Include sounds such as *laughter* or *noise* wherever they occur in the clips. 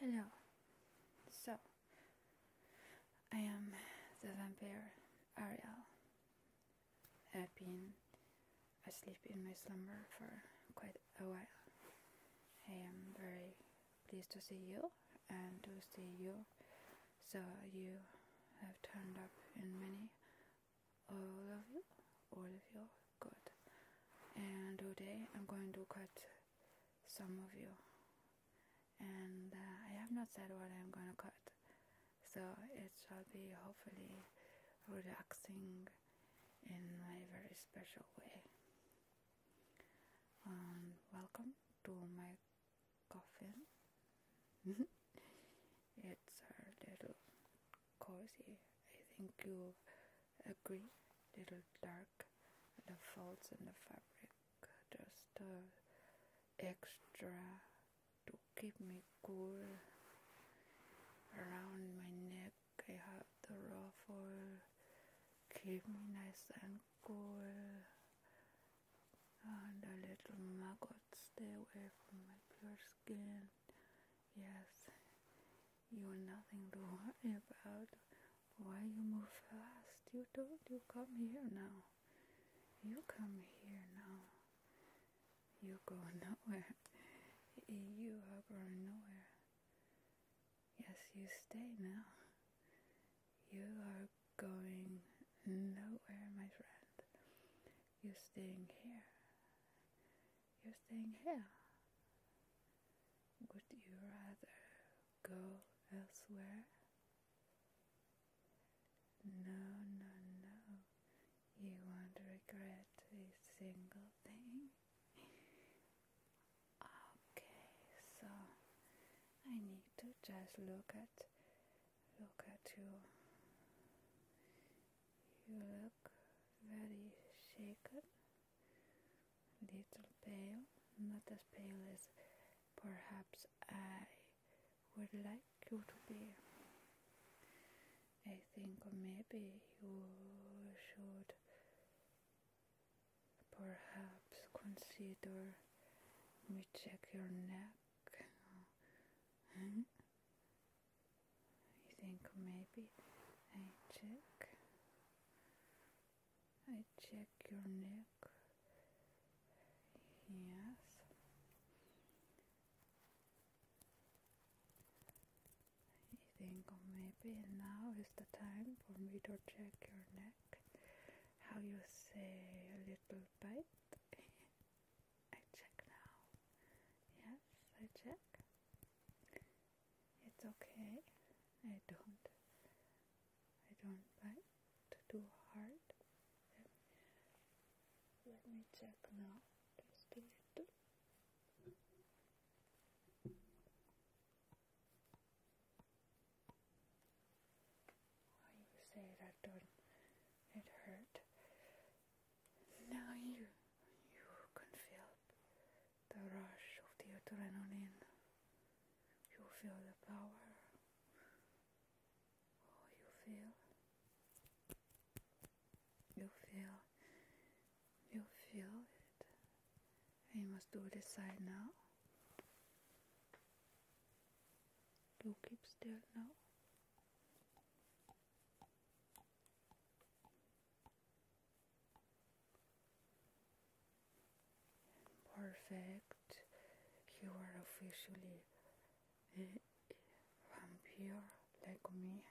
Hello. So, I am the vampire Ariel. I've been asleep in my slumber for quite a while. I am very pleased to see you and to see you. So, you have turned up in many all of you, all of you, good. And today I'm going to cut some of you. And uh, I have not said what I'm going to cut, so it shall be hopefully relaxing in my very special way. Um, welcome to my coffin. *laughs* it's our little cozy. I think you agree. Little dark, the folds in the fabric, just uh, extra to keep me cool. Around my neck, I have the raw ruffle, keep me nice and cool. And the little maggots stay away from my pure skin. Yes, you're nothing to worry about. Why you move fast? You told you come here now. You come here now. You go *laughs* nowhere. You are going nowhere. Yes, you stay now. You are going nowhere, my friend. You're staying here you're staying here. Would you rather go elsewhere? No, no, no. You won't regret a single thing. *laughs* okay, so I need to just look at look at you you look very shaken, little pale, not as pale as perhaps I would like you to be. I think maybe you should perhaps consider me check your neck. Hmm? I think maybe I check. I check your neck. Yes. I think maybe now is the time for me to check your neck. How you say a little bite? *laughs* I check now. Yes, I check. It's okay. I don't. I don't like to hard. Let me check now. Just a little. Why you say that don't it hurt? Now you, you can feel the rush of the adrenaline. You feel the power. Oh, you feel. You feel. You feel it. I must do this side now. You keep still now. Perfect. You are officially a vampire like me.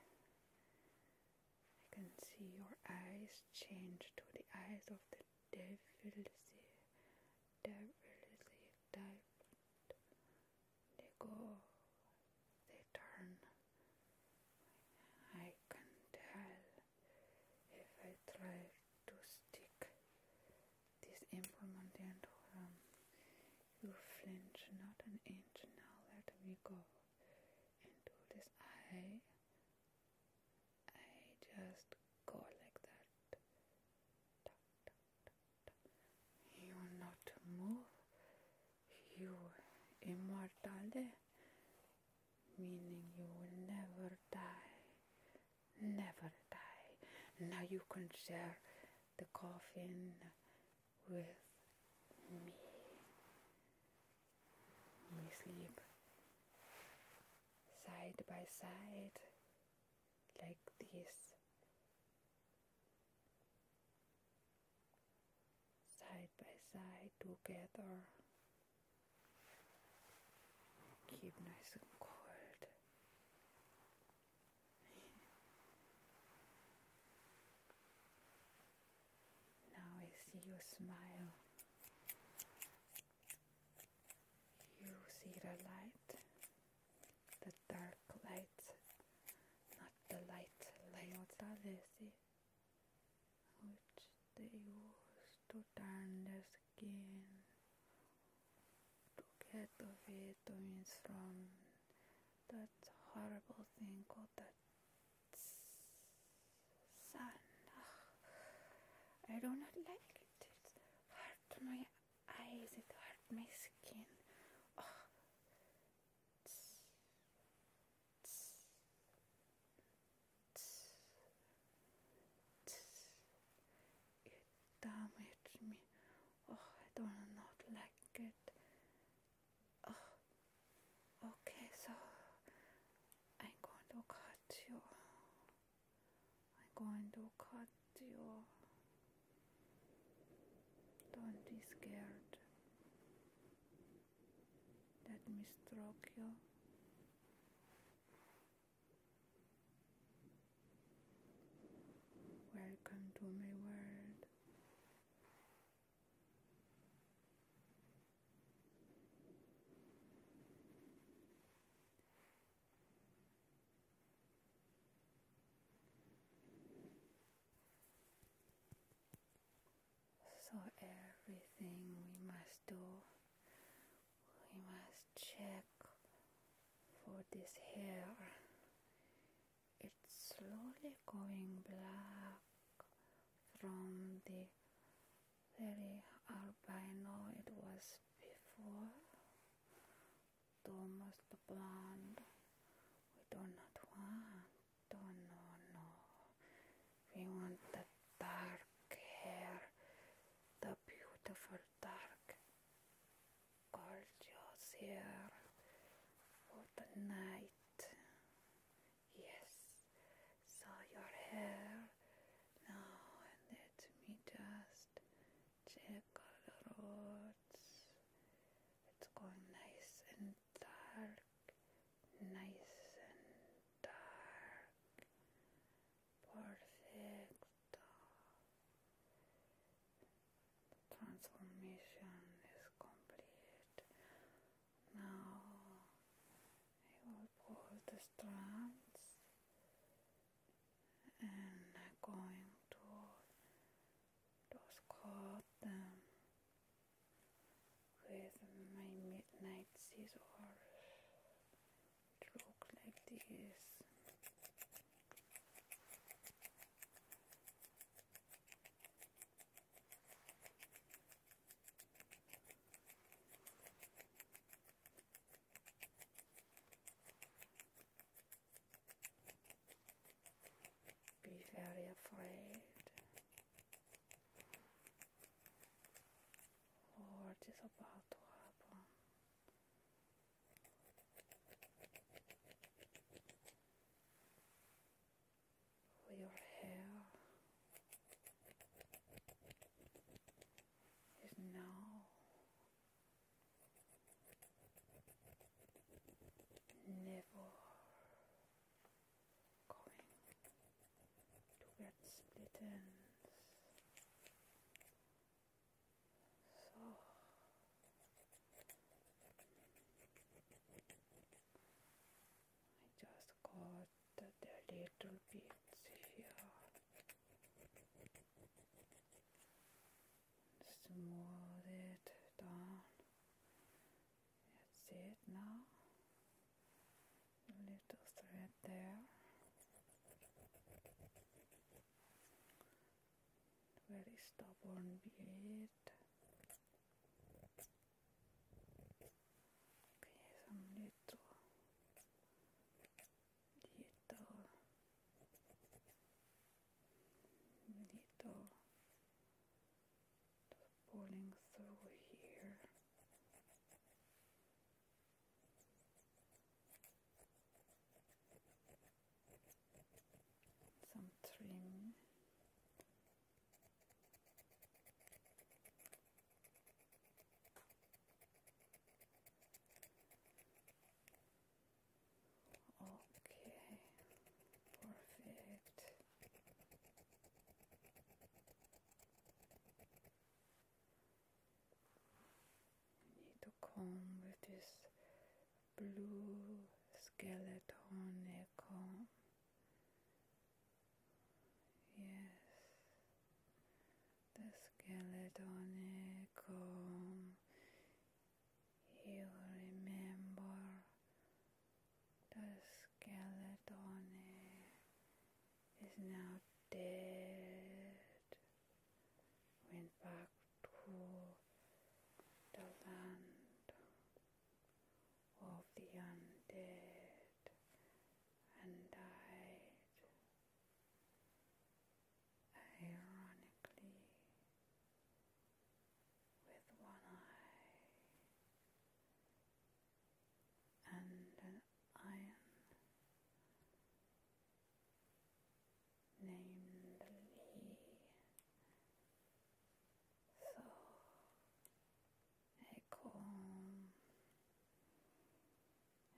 I can see your eyes change to the eyes of the devil. See, devil, see, devil they go, they turn. I can tell if I try to stick this implement into him. Um, you flinch not an inch now, let me go into this eye. I just go like that. You not move, you immortale, meaning you will never die, never die. Now you can share the coffin with me. We sleep side by side like this side by side together. Keep nice and cold. *laughs* now I see your smile. You see the light the dark light, not the light light. Lesi, which they used to turn the skin to get the vitamins from that horrible thing called the sun. I do not like it. It's hurt my eyes, it hurt my skin. It damaged me. Oh, I do not like it. Oh, okay, so I'm going to cut you. I'm going to cut don't be scared. Let me stroke you. Welcome to my world. So everything we must do, we must check for this hair. It's slowly going black from the very albino it was before tomas the plant. We do not want. Oh, no, no. We want the dark hair, the beautiful dark gorgeous hair for the night. Yes. So your hair. Now let me just check the road. It's going nice and dark, nice and dark. Perfect. Transformation is complete. Now I will pull the strands and going to those caught them with my midnight scissors. It like this. Be very afraid what is about to happen. With is now never going to get split ends. So I just got the little bits here smooth it down. That's it now. A little thread there. Very stubborn bead. Okay, some little dito dito just pulling through here some trim Okay, perfect. need to comb with this blue skeleton comb. Yes, the skeleton comb you remember the skeleton is now dead went back to the land of the undead and died ironically with one eye and an iron named So a calm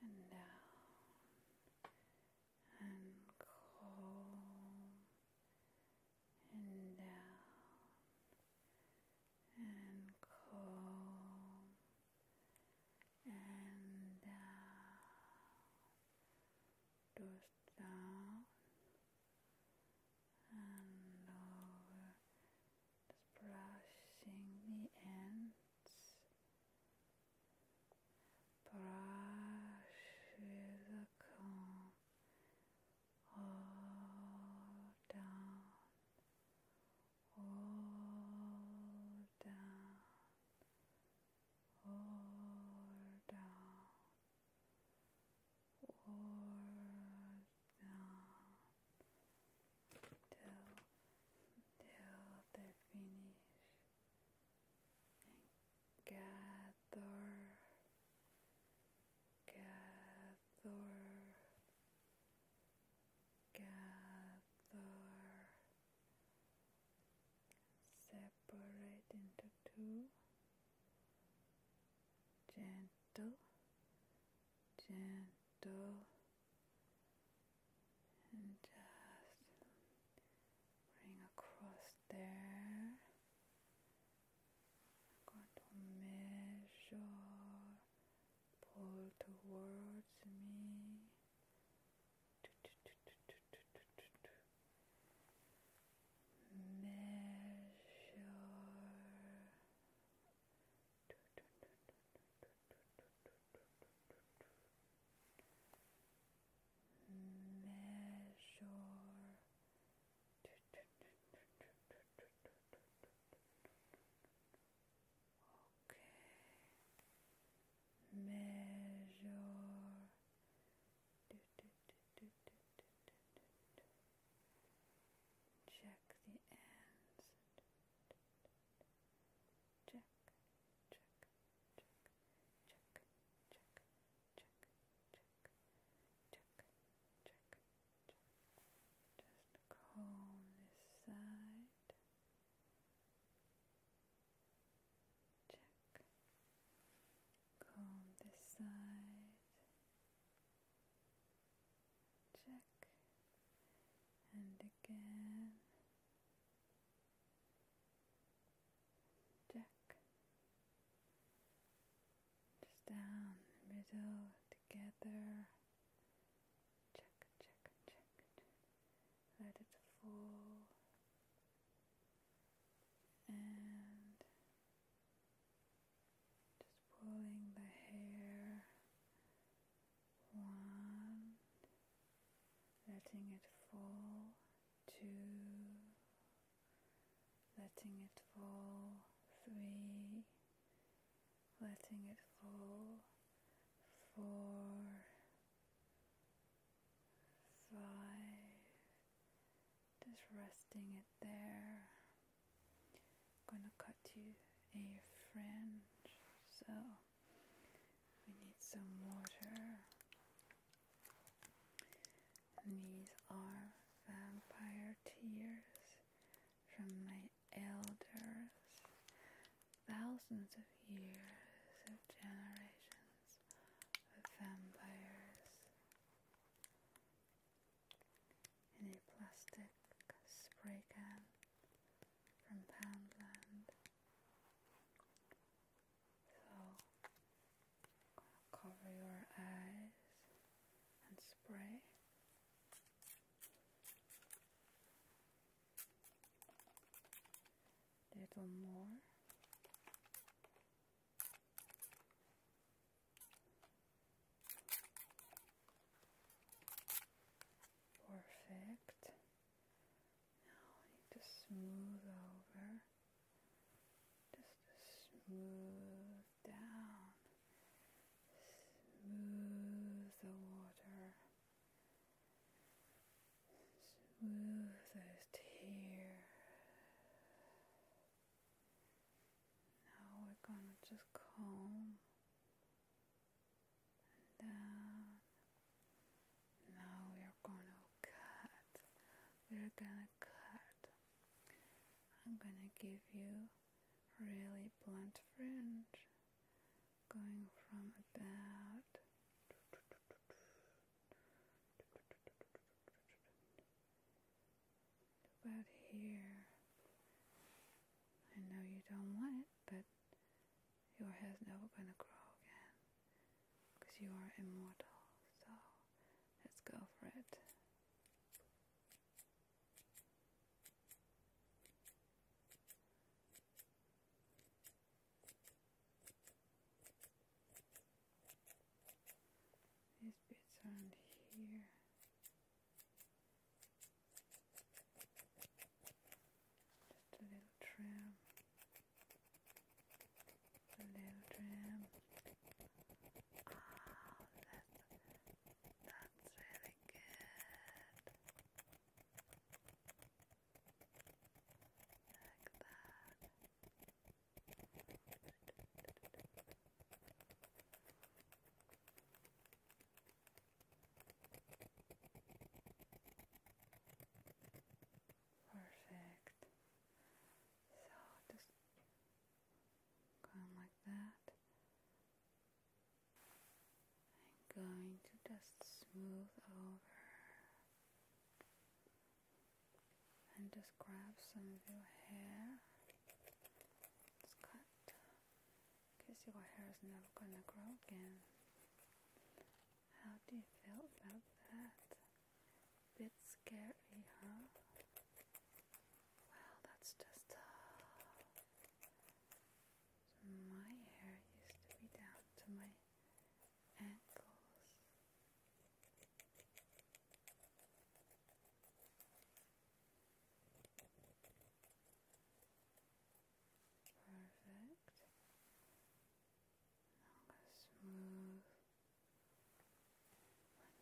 and down and calm and down and calm and down those down and over uh, just brushing the ends brush the comb all down, all down, all down, all down, till till they finish gather, gather, gather, separate into two, gentle, gentle, and just bring across there. I'm going to measure, pull towards me. Measure measure okay measure check the ends check check check, check, comb this side. Check. Comb this side. Check. And again. Jack, just down the middle together. check, check, check. Let it fall. And just pulling the hair. One, letting it fall two, letting it fall three, letting it fall four, five, just resting it there. gonna cut you a fringe so we need some water. And these are vampire tears from my elders, thousands of years of generations of vampires in plastic spray can from Poundland. So cover your eyes and spray. Little more. Perfect. Now I need to smooth over, just to smooth down, smooth the water, smooth those tears. Now we're gonna just comb and Now we're gonna cut. We're gonna cut. I'm gonna give you really blunt fringe going from about about here. I know you don't want it, but your hair's never gonna grow again because you are immortal. So let's go for it. These bits around here. Just a little trim, just a little trim. Ah, oh, that's, that's really good. Like that. Perfect. So just going like that. i going to just smooth over and just grab some of your hair. Just cut your hair is never gonna grow again. How do you feel about that? Bit scary, huh? Well, that's just uh, so my hair used to be down to my ankles. Perfect. Perfect. I'm going to smooth.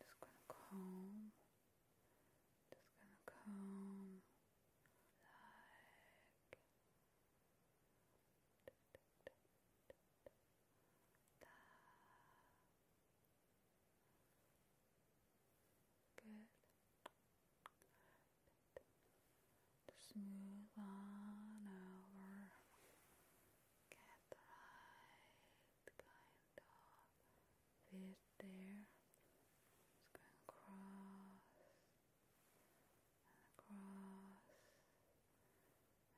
I'm just going to comb. Just going to comb like that. Good. Just on over. Get the right kind of fit there. Just going across and across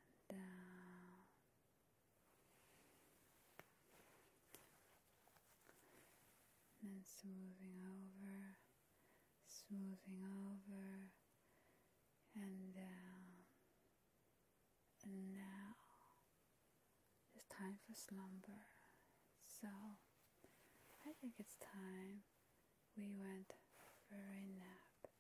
and down. And smoothing over smoothing over and down. And now it's time for slumber. So I think it's time we went for a nap.